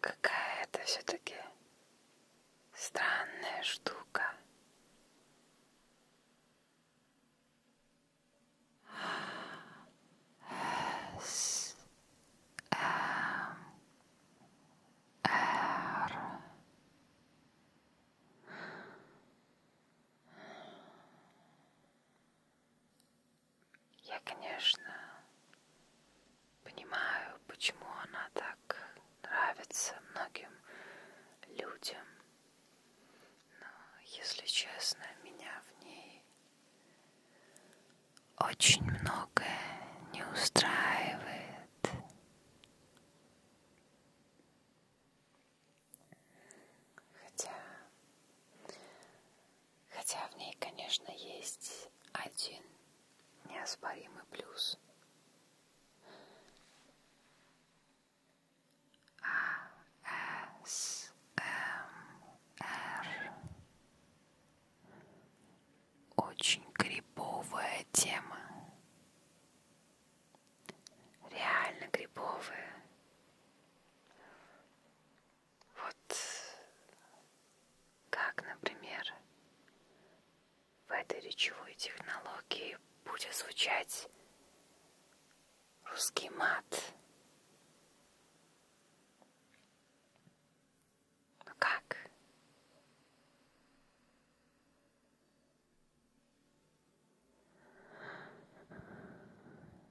Какая это все-таки странная штука. С -м -р. Я, конечно, понимаю, почему она так нравится многим людям, но, если честно, меня в ней очень многое не устраивает. Хотя Хотя в ней, конечно, есть один неоспоримый плюс. А, э, С, М, Р. Очень грибовая тема. Реально грибовая. Вот как, например, в этой речевой технологии будет звучать русский мат. Ну как?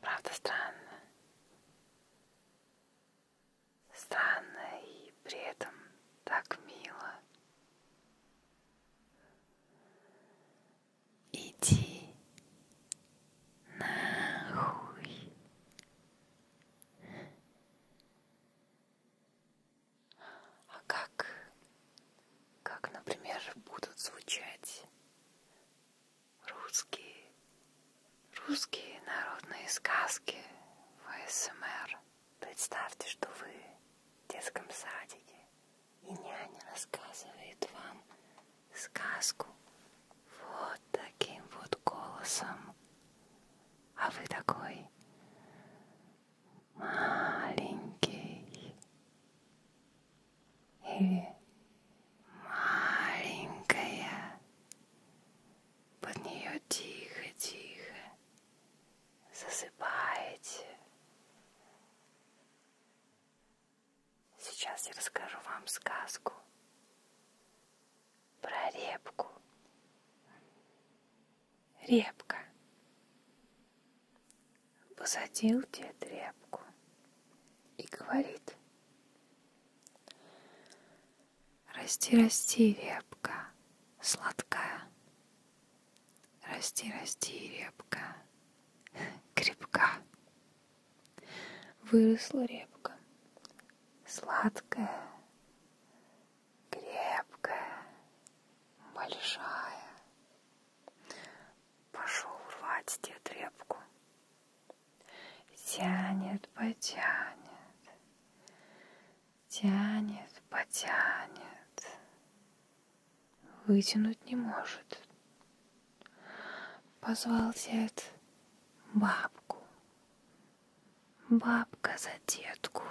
Правда странно. Странно и при этом так мило. Иди нахуй. А как как, например, будут звучать русские, русские народные сказки в СМР. Представьте, что вы в детском садике, и няня рассказывает вам сказку вот таким вот голосом. А вы такой маленький или маленькая. Под нее тихо-тихо засыпаете. Сейчас я расскажу вам сказку про репку. Репка. Посадил дед репку и говорит. Расти, расти, репка, сладкая. Расти, расти, репка, крепка. Выросла репка, сладкая, крепкая, большая, Пошел рвать дед репку. Тянет, потянет, тянет, потянет. Вытянуть не может. Позвал дед бабку. Бабка за детку,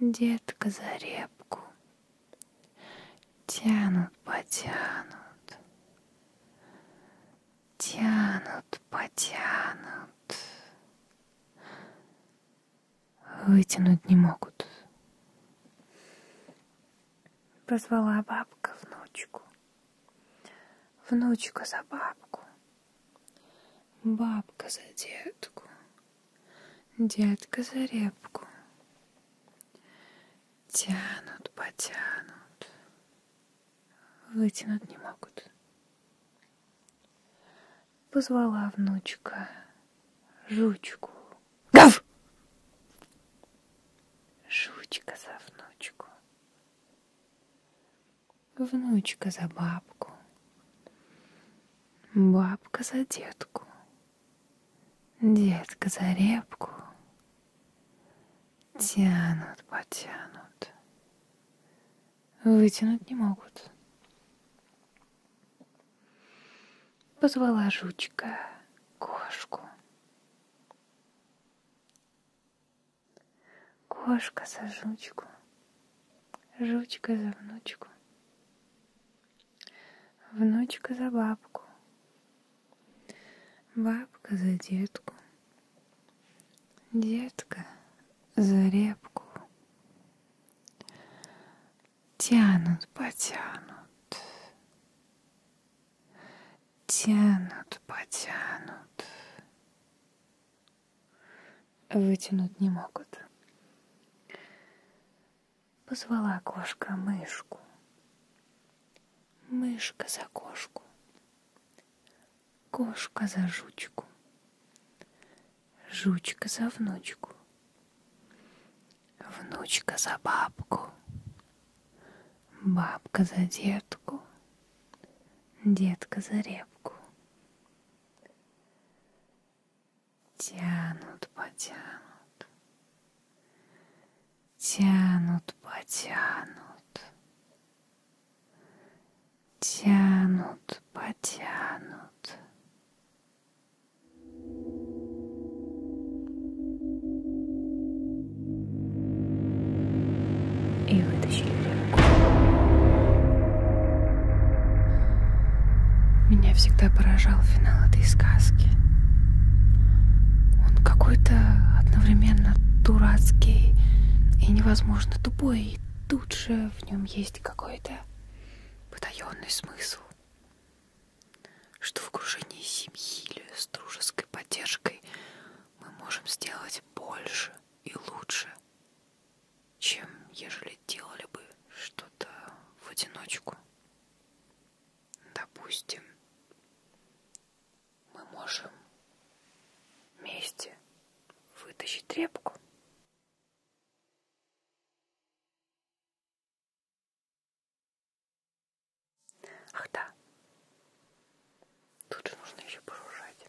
детка за репку тянут, потянут, тянут, потянут, вытянуть не могут. Позвала бабка внучку, внучка за бабку, бабка за детку, Детка за репку. Тянут, потянут. Вытянуть не могут. Позвала внучка жучку. Гав! Жучка за внучку. Внучка за бабку. Бабка за детку, детка за репку. Тянут, потянут. Вытянуть не могут. Позвала жучка кошку. Кошка за жучку, жучка за внучку. Внучка за бабку, бабка за детку, детка за репку. Тянут, потянут, тянут, потянут вытянуть не могут. Позвала кошка мышку. Мышка за кошку. Кошка за жучку. Жучка за внучку. Внучка за бабку. Бабка за детку. Детка за репку тянут, потянут, тянут, потянут, тянут, потянут. И вытащили ребенка. Меня всегда поражал финал этой сказки. Он какой-то одновременно дурацкий и невозможно тупой, и тут же в нем есть какой-то потаенный смысл, что в окружении семьи или с дружеской поддержкой мы можем сделать больше и лучше, чем ежели делали бы что-то в одиночку. Допустим, мы можем вместе вытащить тряпку. Ах да, тут же нужно еще пожужжать.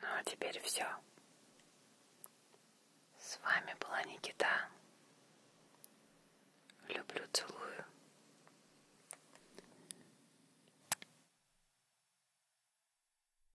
Ну а теперь все. С вами была Никита. Люблю, целую.